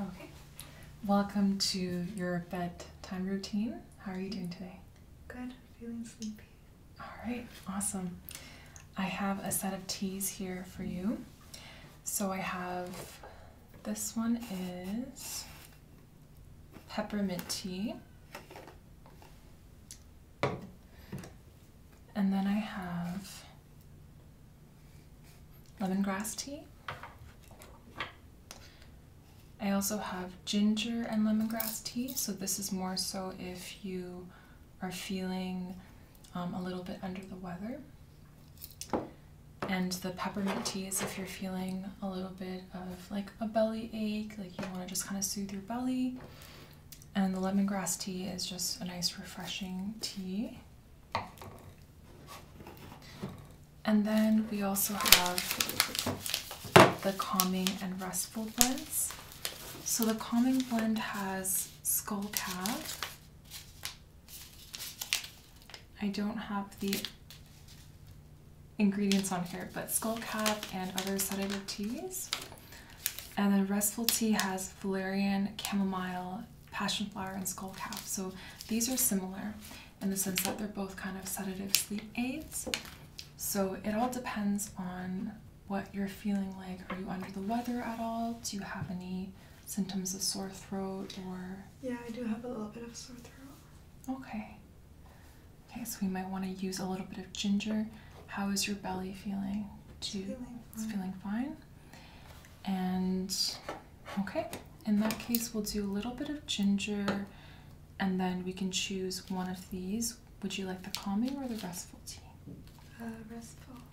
Okay. Welcome to your bedtime routine. How are you doing today? Good. Feeling sleepy. All right. Awesome. I have a set of teas here for you so I have this one is peppermint tea. And then I have lemongrass tea. I also have ginger and lemongrass tea. So this is more so if you are feeling um, a little bit under the weather. And the peppermint tea is if you're feeling a little bit of like a belly ache, like you want to just kind of soothe your belly. And the lemongrass tea is just a nice refreshing tea. And then we also have the calming and restful blends. So the calming blend has skull calf, I don't have the ingredients on here, but skullcap and other sedative teas. And then Restful Tea has valerian, chamomile, passionflower, and skullcap. So these are similar in the sense that they're both kind of sedative sleep aids. So it all depends on what you're feeling like. Are you under the weather at all? Do you have any symptoms of sore throat or? Yeah, I do have a little bit of sore throat. Okay. Okay, so we might want to use a little bit of ginger. How is your belly feeling? Do it's feeling fine. And okay, in that case, we'll do a little bit of ginger and then we can choose one of these. Would you like the calming or the restful tea? Uh, restful.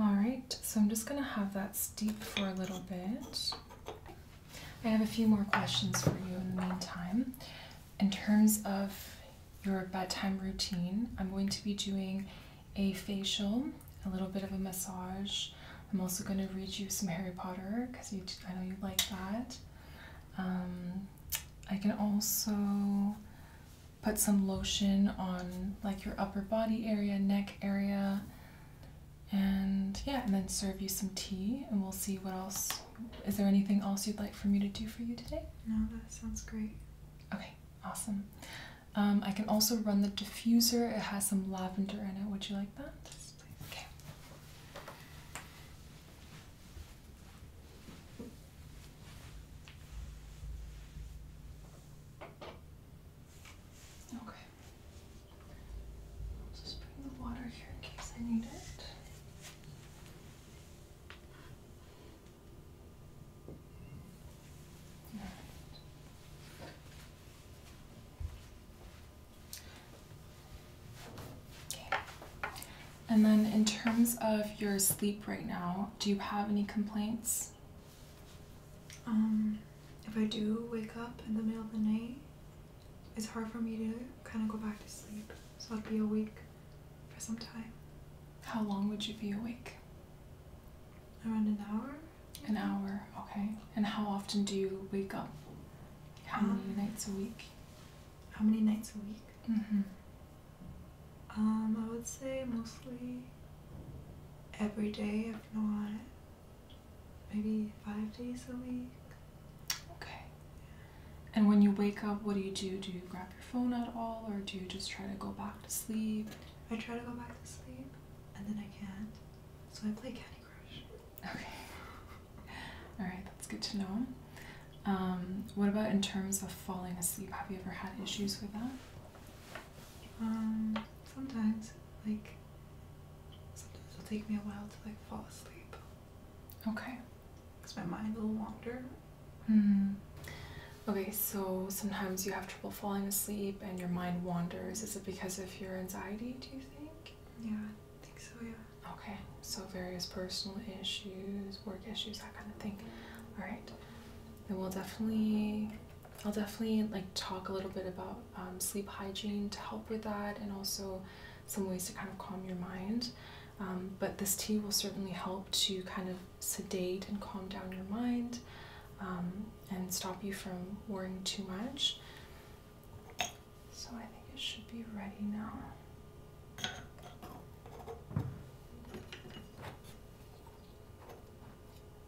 All right, so I'm just gonna have that steep for a little bit. I have a few more questions for you in the meantime. In terms of your bedtime routine, I'm going to be doing a facial, a little bit of a massage. I'm also going to read you some Harry Potter because I know you like that. Um, I can also put some lotion on like your upper body area, neck area. And yeah, and then serve you some tea, and we'll see what else. Is there anything else you'd like for me to do for you today? No, that sounds great. Okay, awesome. Um, I can also run the diffuser. It has some lavender in it. Would you like that? Okay. Okay. I'll just bring the water here in case I need it. Okay. And then in terms of your sleep right now, do you have any complaints? Um, if I do wake up in the middle of the night, it's hard for me to kind of go back to sleep. So I'd be awake for some time. How long would you be awake? Around an hour. An hour, okay. And how often do you wake up? How um, many nights a week? How many nights a week? Mm-hmm. Um, I would say mostly every day, if not maybe five days a week. Okay. And when you wake up, what do you do? Do you grab your phone at all, or do you just try to go back to sleep? I try to go back to sleep, and then I can't. So I play Candy Crush. Okay. all right, that's good to know. Um, what about in terms of falling asleep? Have you ever had issues with that? Um, sometimes, like, sometimes it'll take me a while to like fall asleep. Okay. Because my mind will wander. Hmm. Okay, so sometimes you have trouble falling asleep and your mind wanders. Is it because of your anxiety, do you think? Yeah, I think so, yeah. Okay, so various personal issues, work issues, that kind of thing. All right, then we'll definitely I'll definitely like talk a little bit about um, sleep hygiene to help with that and also some ways to kind of calm your mind. Um, but this tea will certainly help to kind of sedate and calm down your mind um, and stop you from worrying too much. So I think it should be ready now.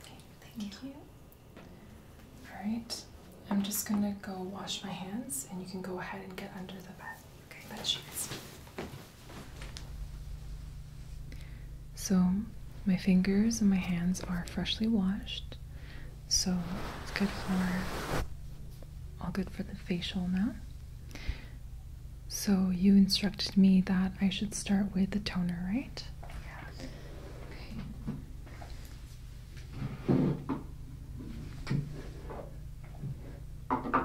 Okay, thank, you. All right, I'm just gonna go wash my hands, and you can go ahead and get under the bed. Okay, bed sheets. So, my fingers and my hands are freshly washed, so it's good for all good for the facial now. So you instructed me that I should start with the toner, right? Yeah. Okay.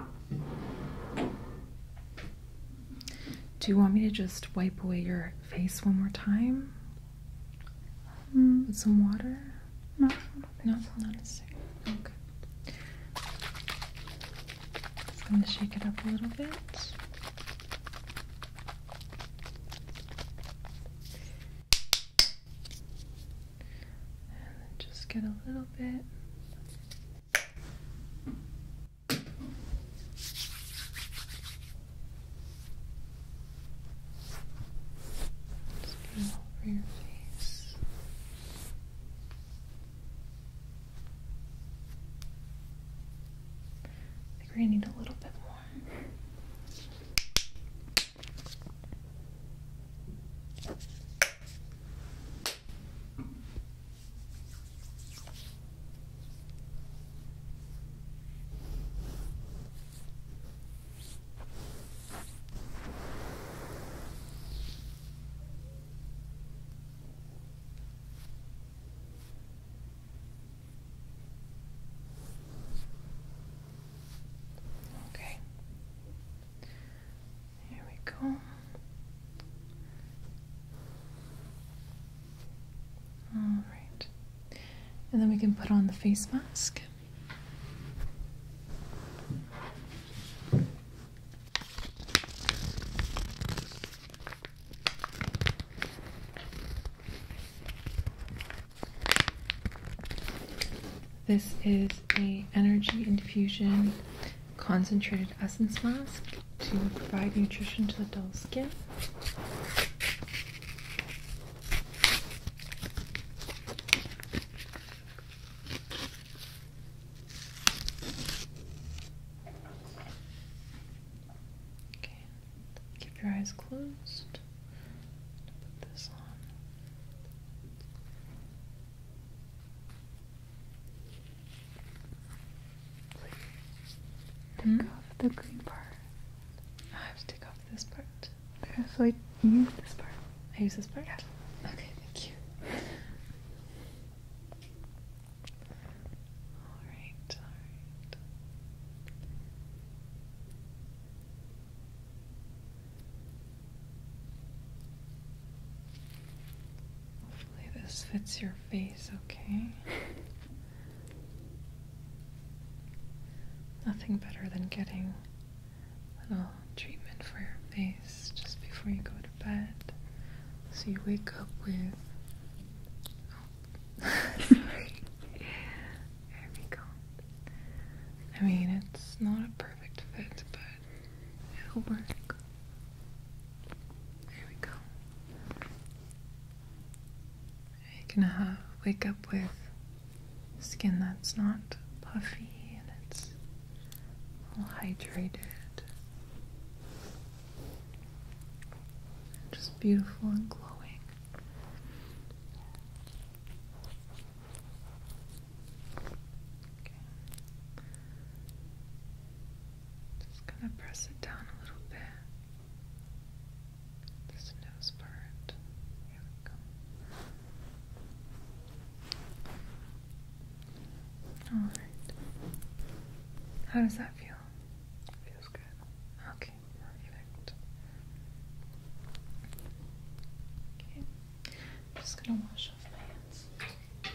Do you want me to just wipe away your face one more time? Mm. With some water? No, no, so. not necessary. Okay. Just going to shake it up a little bit. And just get a little bit. Just over your face. I think we're going need a little bit more. Okay. Here we go. All right. And then we can put on the face mask. This is a energy infusion concentrated essence mask to provide nutrition to the dull skin. Okay, keep your eyes closed. Put this on. Hmm? take off the green part. I have to take off this part. Okay, so I use this part. I use this part? Okay, thank you. Alright, Hopefully, this fits your face okay. Nothing better than getting a little treatment for your face just before you go to bed. So you wake up with. Oh, sorry. There we go. I mean, it's not a perfect fit, but it'll work. There we go. You can uh, wake up with skin that's not puffy and it's all hydrated, just beautiful and glowing. Just gonna press it down a little bit. This nose part. All right. How does that feel? Feels good. Okay, perfect. Okay, I'm just gonna wash off my hands.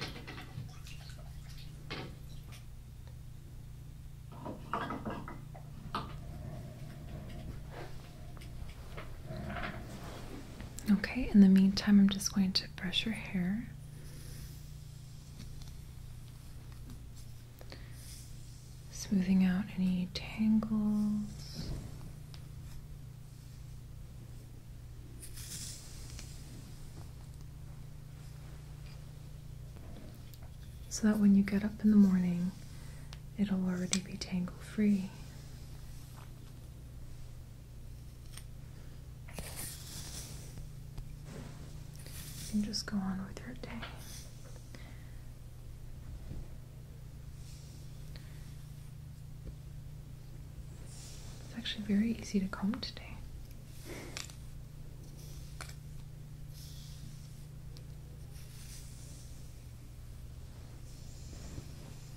Okay, in the meantime, I'm just going to brush your hair. Smoothing out any tangles. So that when you get up in the morning, it'll already be tangle free. You can just go on with your day. It's actually very easy to comb today.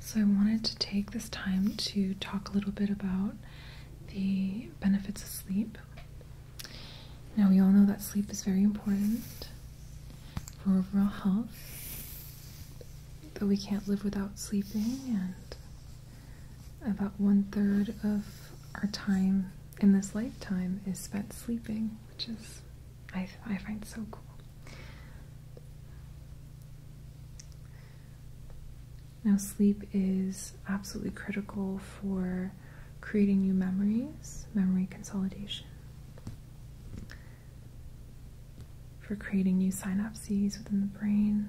So, I wanted to take this time to talk a little bit about the benefits of sleep. Now, we all know that sleep is very important for overall health, that we can't live without sleeping, and about one third of our time in this lifetime is spent sleeping, which is I, I find so cool. Now, sleep is absolutely critical for creating new memories, memory consolidation, for creating new synapses within the brain.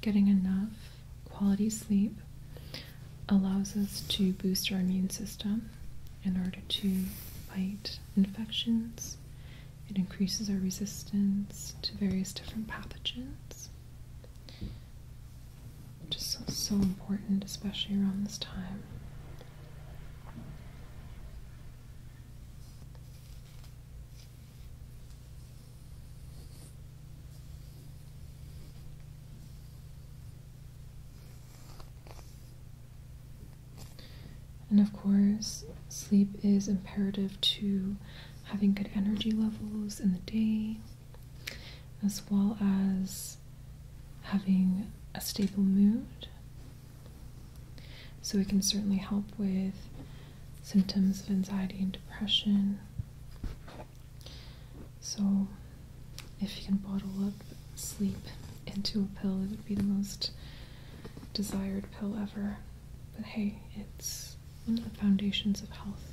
Getting enough quality sleep allows us to boost our immune system in order to fight infections. It increases our resistance to various different pathogens. Just so, so important, especially around this time. And of course, sleep is imperative to having good energy levels in the day, as well as having a stable mood so it can certainly help with symptoms of anxiety and depression. So if you can bottle up sleep into a pill, it would be the most desired pill ever. But hey, it's one of the foundations of health,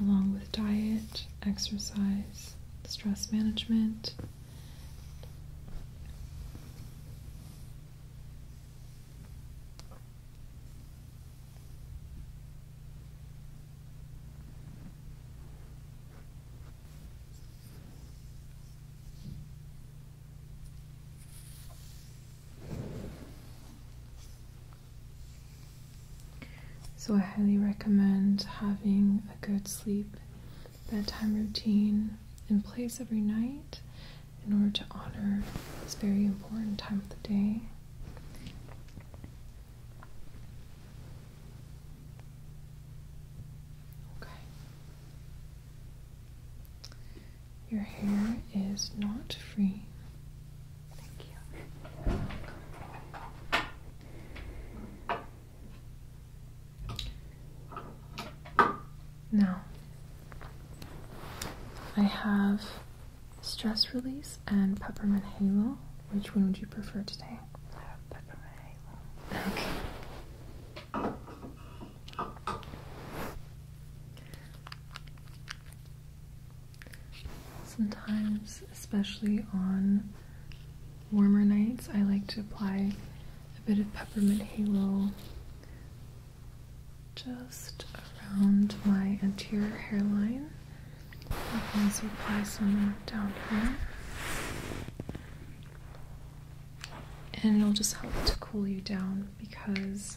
along with diet, exercise, stress management, so, I highly recommend having a good sleep bedtime routine in place every night in order to honor this very important time of the day. Your hair is not free. Thank you. Now, I have stress release and peppermint halo. Which one would you prefer today? I peppermint halo. Okay. Sometimes, especially on warmer nights, I like to apply a bit of peppermint halo just around my anterior hairline. I can also apply some down here. And it'll just help to cool you down because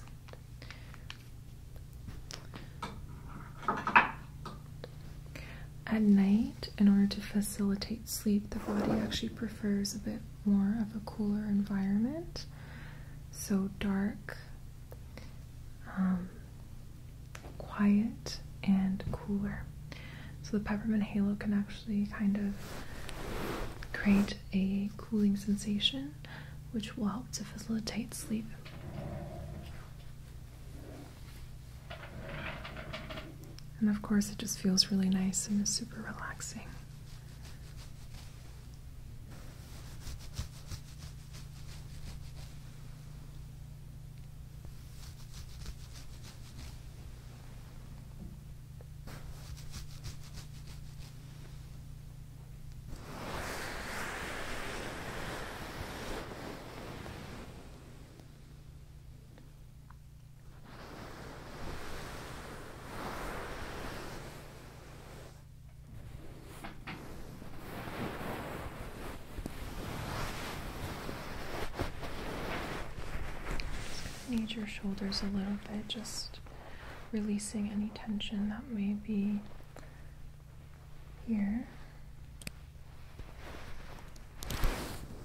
at night, in order to facilitate sleep, the body actually prefers a bit more of a cooler environment. So, dark, um, quiet, and cooler. So, the peppermint halo can actually kind of create a cooling sensation, which will help to facilitate sleep. And of course, it just feels really nice and is super relaxing. Need your shoulders a little bit, just releasing any tension that may be here.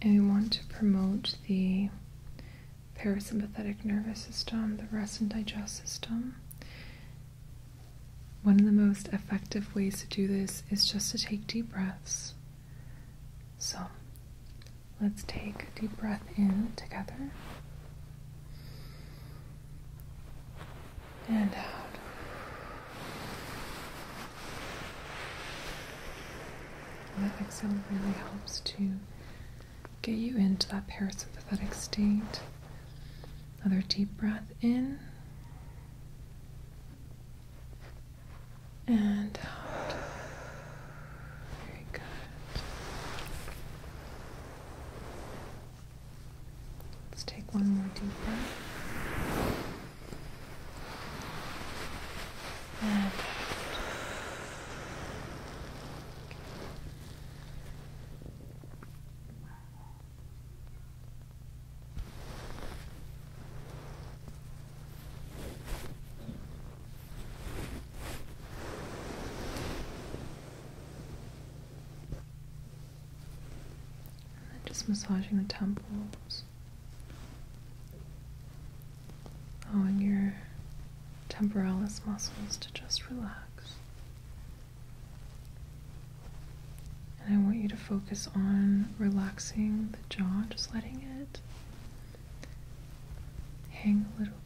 And we want to promote the parasympathetic nervous system, the rest and digest system. One of the most effective ways to do this is just to take deep breaths. So let's take a deep breath in together and out. that exhale really helps to get you into that parasympathetic state. Another deep breath in and out. Very good. Let's take one more deep breath. And and then just massaging the temples, oh, allowing your temporalis muscles to just relax. And I want you to focus on relaxing the jaw, just letting it hang a little bit.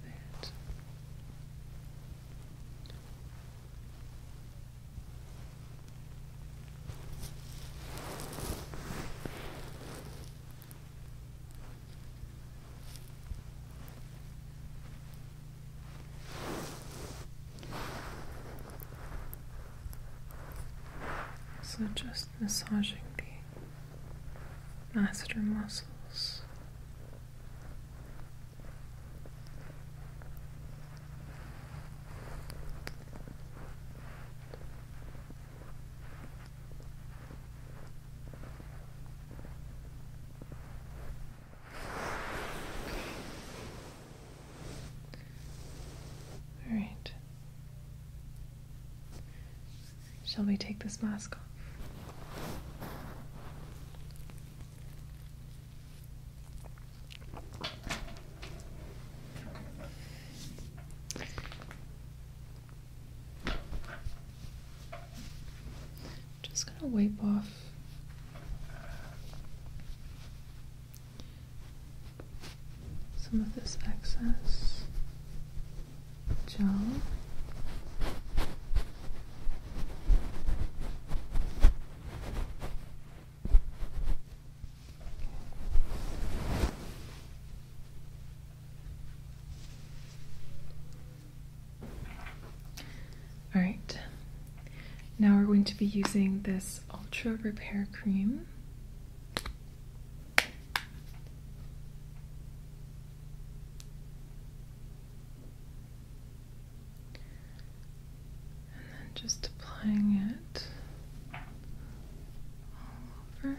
So just massaging the master muscles. All right. Shall we take this mask off? Just gonna wipe off some of this excess gel. All right, now we're going to be using this Ultra Repair Cream. And then just applying it all over.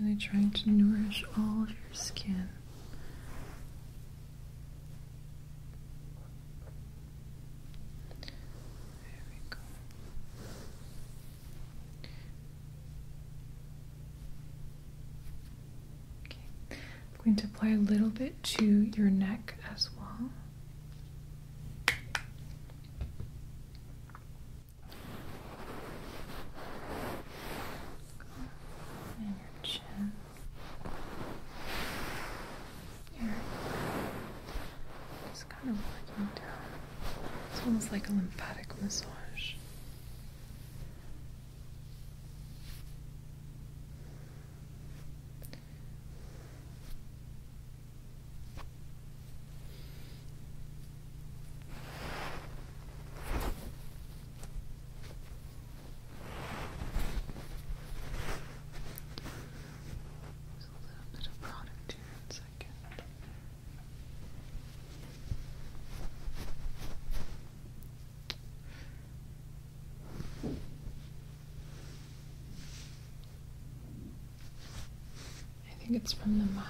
Really trying to nourish all of your skin. There we go. Okay. I'm going to apply a little bit to your neck as well. And your chin, here, just kind of working down. It's almost like a lymphatic massage. There's a little bit of product here in second. I think it's from the mosque.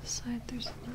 This side, there's a little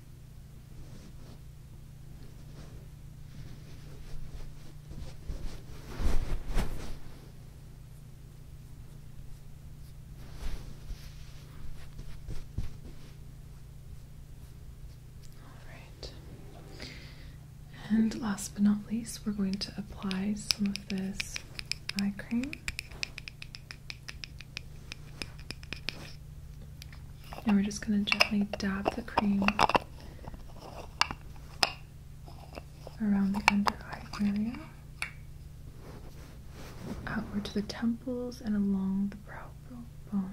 Alright. And last but not least, we're going to apply some of this eye cream. And we're just going to gently dab the cream around the under eye area, outward to the temples and along the brow bone.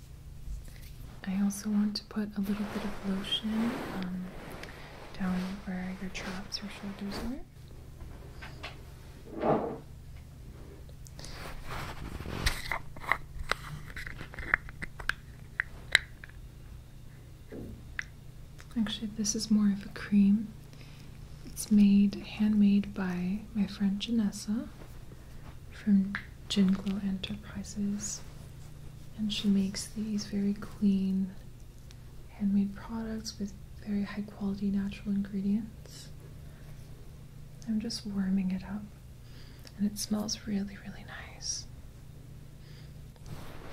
I also want to put a little bit of lotion um, down where your chops or shoulders are. Actually, this is more of a cream. It's made handmade by my friend Janessa from Jingle Enterprises. And she makes these very clean, handmade products with very high quality natural ingredients. I'm just warming it up, and it smells really, really nice.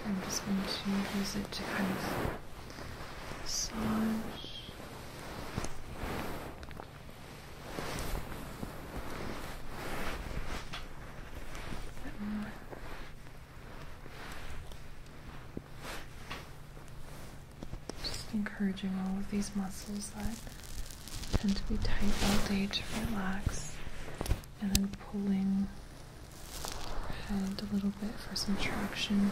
I'm just going to use it to kind of massage just encouraging all of these muscles that tend to be tight all day to relax, and then pulling your head a little bit for some traction.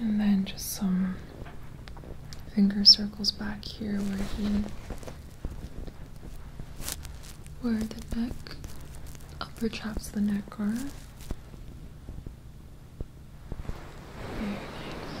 And then just some finger circles back here where he where the neck upper chaps the neck are. Very nice.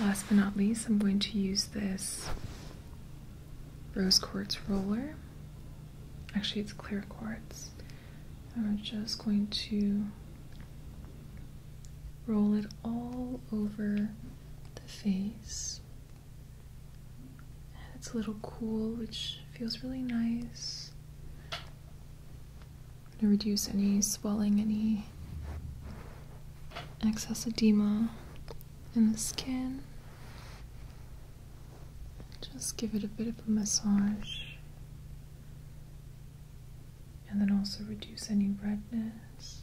Last but not least, I'm going to use this rose quartz roller. Actually, it's clear quartz. And we're just going to roll it all over the face. And it's a little cool, which feels really nice to reduce any swelling, any excess edema in the skin. Just give it a bit of a massage. And then also reduce any redness.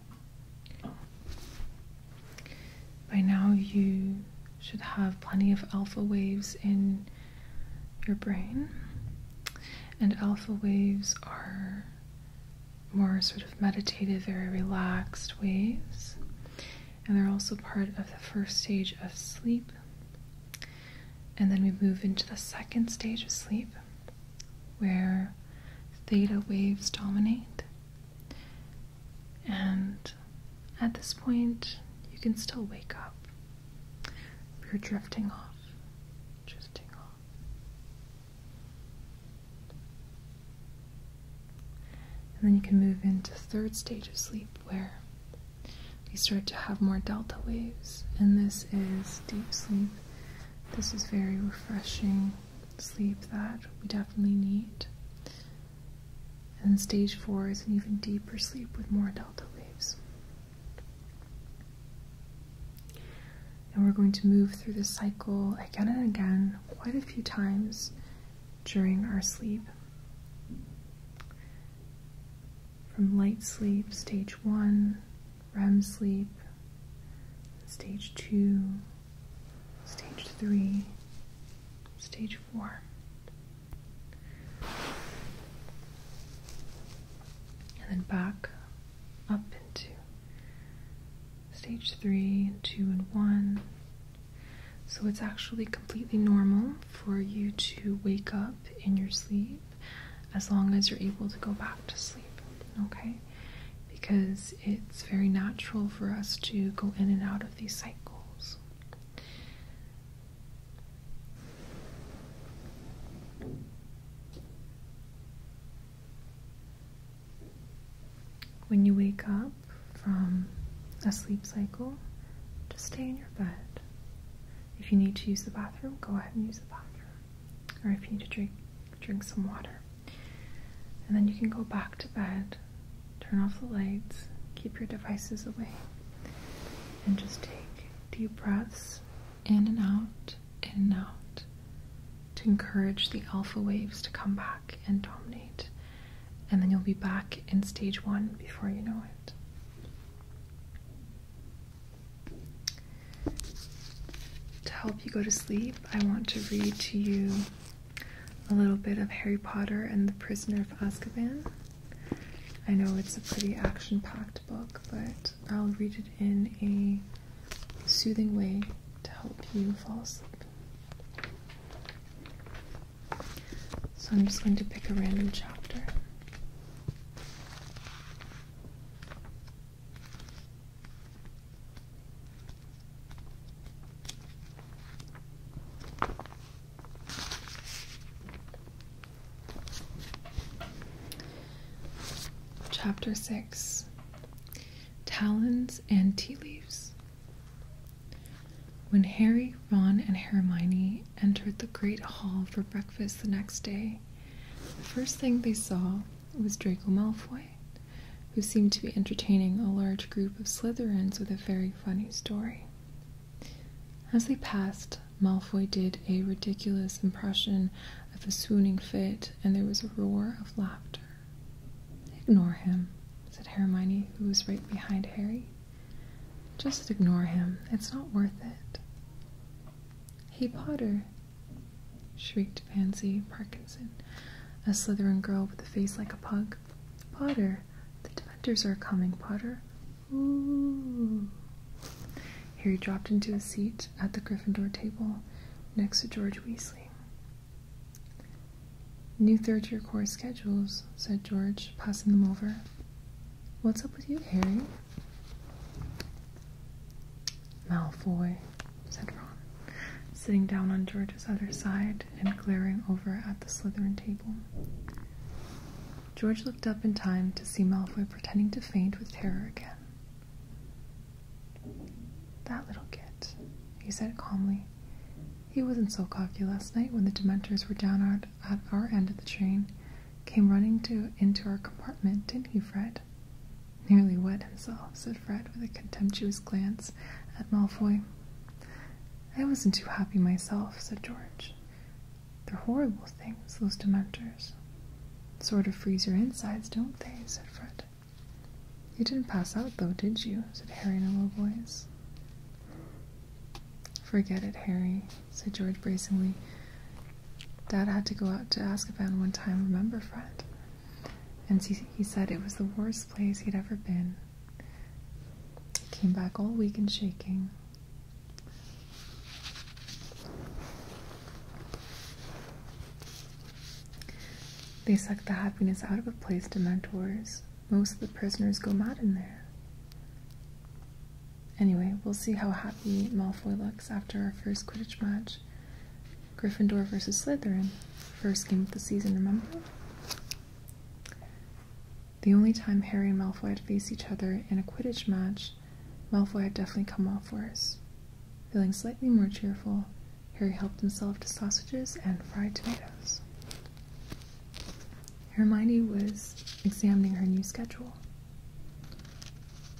By now, you should have plenty of alpha waves in your brain, and alpha waves are more sort of meditative, very relaxed waves, and they're also part of the first stage of sleep. And then we move into the second stage of sleep, where theta waves dominate. And at this point, you can still wake up. You're drifting off, drifting off. And then you can move into third stage of sleep where you start to have more delta waves. And this is deep sleep this is very refreshing sleep that we definitely need. And stage four is an even deeper sleep with more delta waves. And we're going to move through this cycle again and again, quite a few times during our sleep. From light sleep, stage one, REM sleep, stage two, stage three, stage four. And then back up into stage three, and two, and one. So it's actually completely normal for you to wake up in your sleep as long as you're able to go back to sleep. Okay? because it's very natural for us to go in and out of these cycles. When you wake up from a sleep cycle, just stay in your bed. If you need to use the bathroom, go ahead and use the bathroom or if you need to drink, some water. And then you can go back to bed, turn off the lights, keep your devices away, and just take deep breaths in and out, in and out, to encourage the alpha waves to come back and dominate. And then you'll be back in stage one before you know it. To help you go to sleep, I want to read to you a little bit of Harry Potter and the Prisoner of Azkaban. I know it's a pretty action packed book, but I'll read it in a soothing way to help you fall asleep. So I'm just going to pick a random chapter. Chapter 6 Talons and Tea Leaves. When Harry, Ron, and Hermione entered the Great Hall for breakfast the next day, the first thing they saw was Draco Malfoy, who seemed to be entertaining a large group of Slytherins with a very funny story. As they passed, Malfoy did a ridiculous impression of a swooning fit, and there was a roar of laughter. Ignore him, said Hermione, who was right behind Harry. Just ignore him. It's not worth it. Hey, Potter, shrieked Pansy Parkinson, a Slytherin girl with a face like a pug. Potter, the Dementors are coming, Potter. Ooh. Harry dropped into a seat at the Gryffindor table next to George Weasley. New third year course schedules, said George, passing them over. What's up with you, Harry? Malfoy, said Ron, sitting down on George's other side and glaring over at the Slytherin table. George looked up in time to see Malfoy pretending to faint with terror again. That little git, he said calmly. He wasn't so cocky last night when the Dementors were down at, at our end of the train. Came running to into our compartment, didn't he, Fred? Nearly wet himself, said Fred with a contemptuous glance at Malfoy. I wasn't too happy myself, said George. They're horrible things, those dementors. Sort of freeze your insides, don't they? said Fred. You didn't pass out, though, did you? said Harry in a low voice. Forget it, Harry, said George bracingly. Dad had to go out to Azkaban one time, remember, Fred? And he, said it was the worst place he'd ever been. Came back all weak and shaking. They suck the happiness out of a place to mentors. Most of the prisoners go mad in there. Anyway, we'll see how happy Malfoy looks after our first Quidditch match. Gryffindor versus Slytherin. First game of the season, remember? The only time Harry and Malfoy had faced each other in a Quidditch match, Malfoy had definitely come off worse. Feeling slightly more cheerful, Harry helped himself to sausages and fried tomatoes. Hermione was examining her new schedule.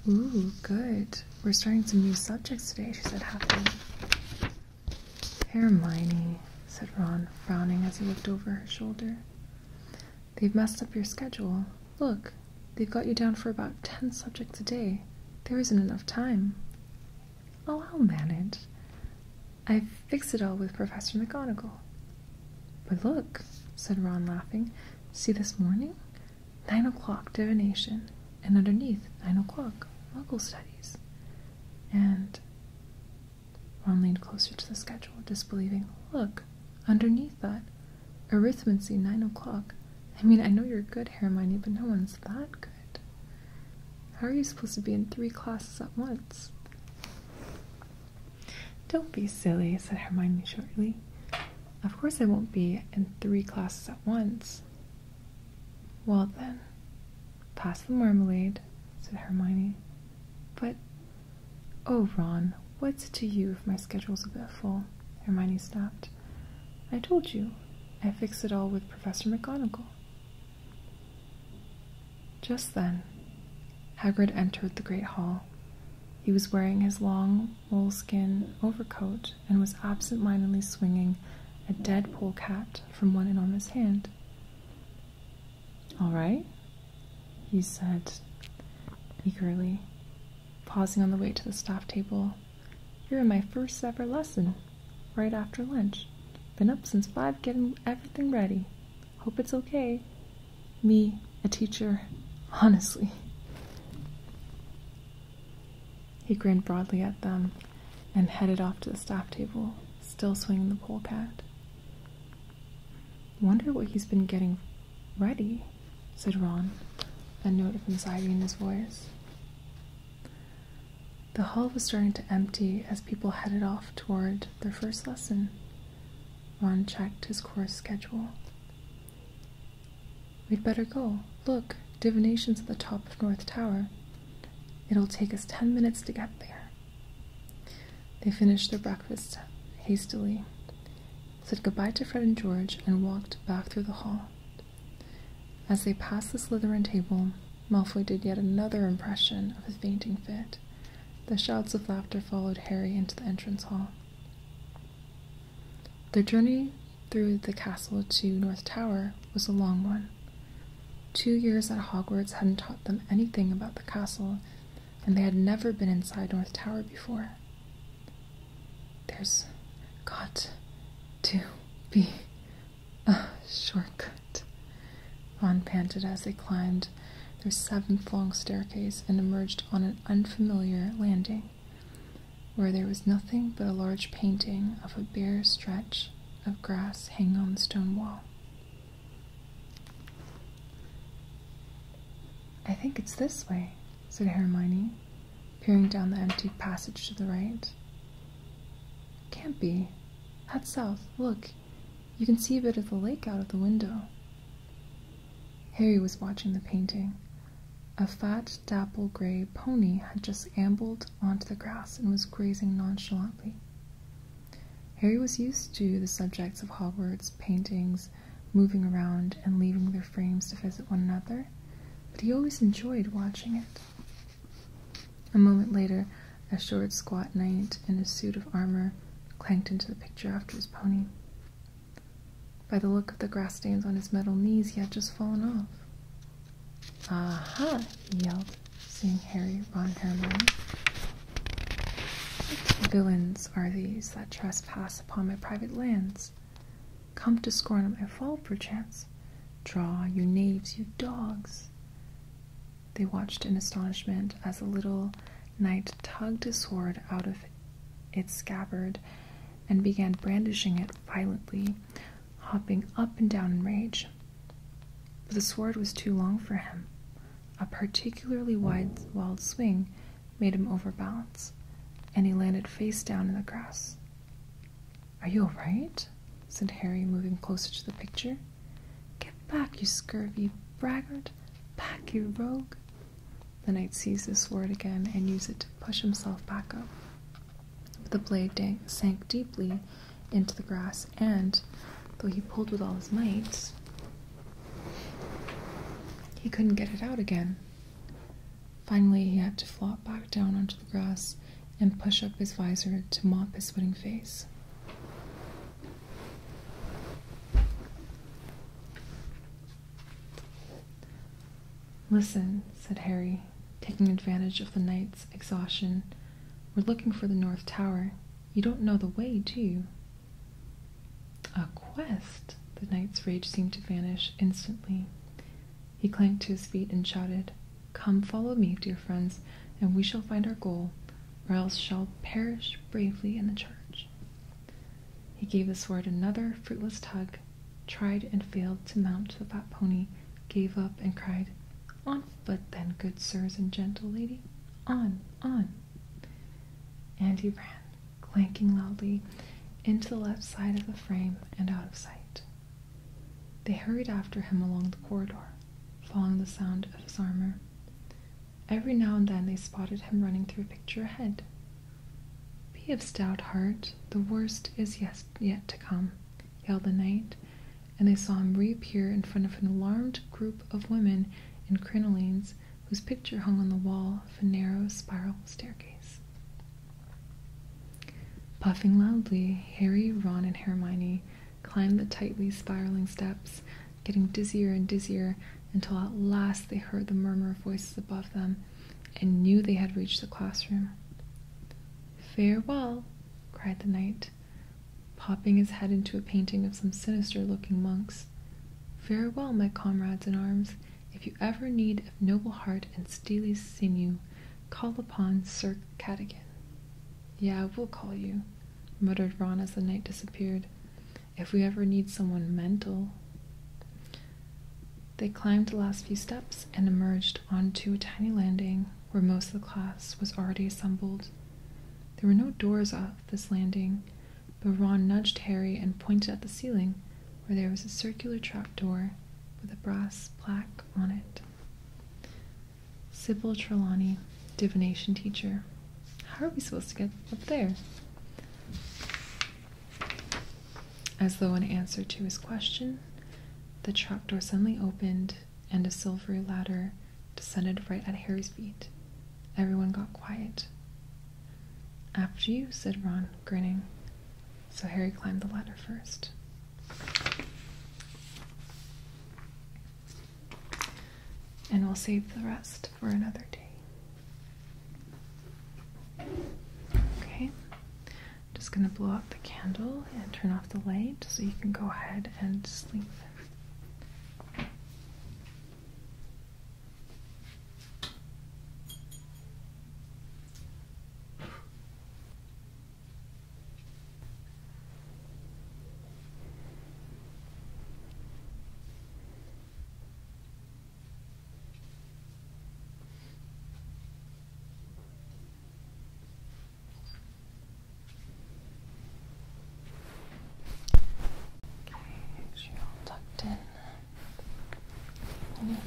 Ooh, good. We're starting some new subjects today, she said happily. Hermione, said Ron, frowning as he looked over her shoulder. They've messed up your schedule. Look, they've got you down for about ten subjects a day. There isn't enough time. Oh, I'll manage. I've fixed it all with Professor McGonagall. But look, said Ron, laughing. See this morning? 9 o'clock divination, and underneath 9 o'clock muggle studies. And Ron leaned closer to the schedule, disbelieving. Look, underneath that, arithmancy, 9 o'clock. I mean, I know you're good, Hermione, but no one's that good. How are you supposed to be in three classes at once? Don't be silly, said Hermione shortly. Of course I won't be in three classes at once. Well then, pass the marmalade, said Hermione. But, oh Ron, what's it to you if my schedule's a bit full? Hermione stopped. I told you, I fixed it all with Professor McGonagall. Just then, Hagrid entered the great hall. He was wearing his long Woolskin overcoat and was absent mindedly swinging a dead polecat from one enormous hand. All right, he said eagerly, pausing on the way to the staff table. You're in my first ever lesson, right after lunch. Been up since five getting everything ready. Hope it's okay. Me, a teacher, honestly. He grinned broadly at them and headed off to the staff table, still swinging the polecat. Wonder what he's been getting ready, said Ron, a note of anxiety in his voice. The hall was starting to empty as people headed off toward their first lesson. Ron checked his course schedule. We'd better go. Look, divination's at the top of North Tower. It'll take us ten minutes to get there. They finished their breakfast hastily, said goodbye to Fred and George, and walked back through the hall. As they passed the Slytherin table, Malfoy did yet another impression of a fainting fit. The shouts of laughter followed Harry into the entrance hall. Their journey through the castle to North Tower was a long one. Two years at Hogwarts hadn't taught them anything about the castle, and they had never been inside North Tower before. There's got to be a shortcut, Ron panted as they climbed their seventh long staircase and emerged on an unfamiliar landing where there was nothing but a large painting of a bare stretch of grass hanging on the stone wall. I think it's this way, said Hermione, peering down the empty passage to the right. Can't be. that's south, look. You can see a bit of the lake out of the window. Harry was watching the painting, a fat, dapple gray pony had just ambled onto the grass and was grazing nonchalantly. Harry was used to the subjects of Hogwarts, paintings, moving around and leaving their frames to visit one another, but he always enjoyed watching it. A moment later, a short, squat knight in a suit of armor clanked into the picture after his pony. By the look of the grass stains on his metal knees, he had just fallen off. Aha! he yelled, seeing Harry, von and What villains are these that trespass upon my private lands? Come to scorn of my fall, perchance. Draw, you knaves, you dogs. They watched in astonishment as the little knight tugged his sword out of its scabbard and began brandishing it violently hopping up and down in rage. But the sword was too long for him. A particularly wide, wild swing made him overbalance, and he landed face down in the grass. Are you all right? said Harry, moving closer to the picture. Get back, you scurvy braggart! Back, you rogue! The knight seized the sword again and used it to push himself back up. The blade sank deeply into the grass, and though he pulled with all his might, he couldn't get it out again. Finally, he had to flop back down onto the grass and push up his visor to mop his sweating face. Listen, said Harry, taking advantage of the knight's exhaustion. We're looking for the North Tower. You don't know the way, do you? A quest? The knight's rage seemed to vanish instantly. He clanked to his feet and shouted, Come, follow me, dear friends, and we shall find our goal, or else shall perish bravely in the charge." He gave the sword another fruitless tug, tried and failed to mount the fat pony, gave up, and cried, On But then, good sirs and gentle lady, on, on. And he ran, clanking loudly, into the left side of the frame and out of sight. They hurried after him along the corridor, following the sound of his armor. Every now and then they spotted him running through a picture ahead, be of stout heart, the worst is yet to come, yelled the knight, and they saw him reappear in front of an alarmed group of women in crinolines whose picture hung on the wall of a narrow spiral staircase. Puffing loudly, Harry, Ron, and Hermione climbed the tightly spiraling steps, getting dizzier and dizzier until at last they heard the murmur of voices above them and knew they had reached the classroom. Farewell, cried the knight, popping his head into a painting of some sinister looking monks. Farewell, my comrades in arms. If you ever need a noble heart and steely sinew, call upon Sir Cadogan. Yeah, we'll call you, muttered Ron as the knight disappeared. If we ever need someone mental. They climbed the last few steps and emerged onto a tiny landing where most of the class was already assembled. There were no doors off this landing, but Ron nudged Harry and pointed at the ceiling where there was a circular trapdoor with a brass plaque on it. Sybil Trelawney, divination teacher. How are we supposed to get up there? As though in answer to his question, the trap door suddenly opened and a silvery ladder descended right at Harry's feet. Everyone got quiet. After you, said Ron, grinning. So Harry climbed the ladder first. And we'll save the rest for another day. Okay. I'm just going to blow out the candle and turn off the light so you can go ahead and sleep. Okay, you're all tucked in. All right.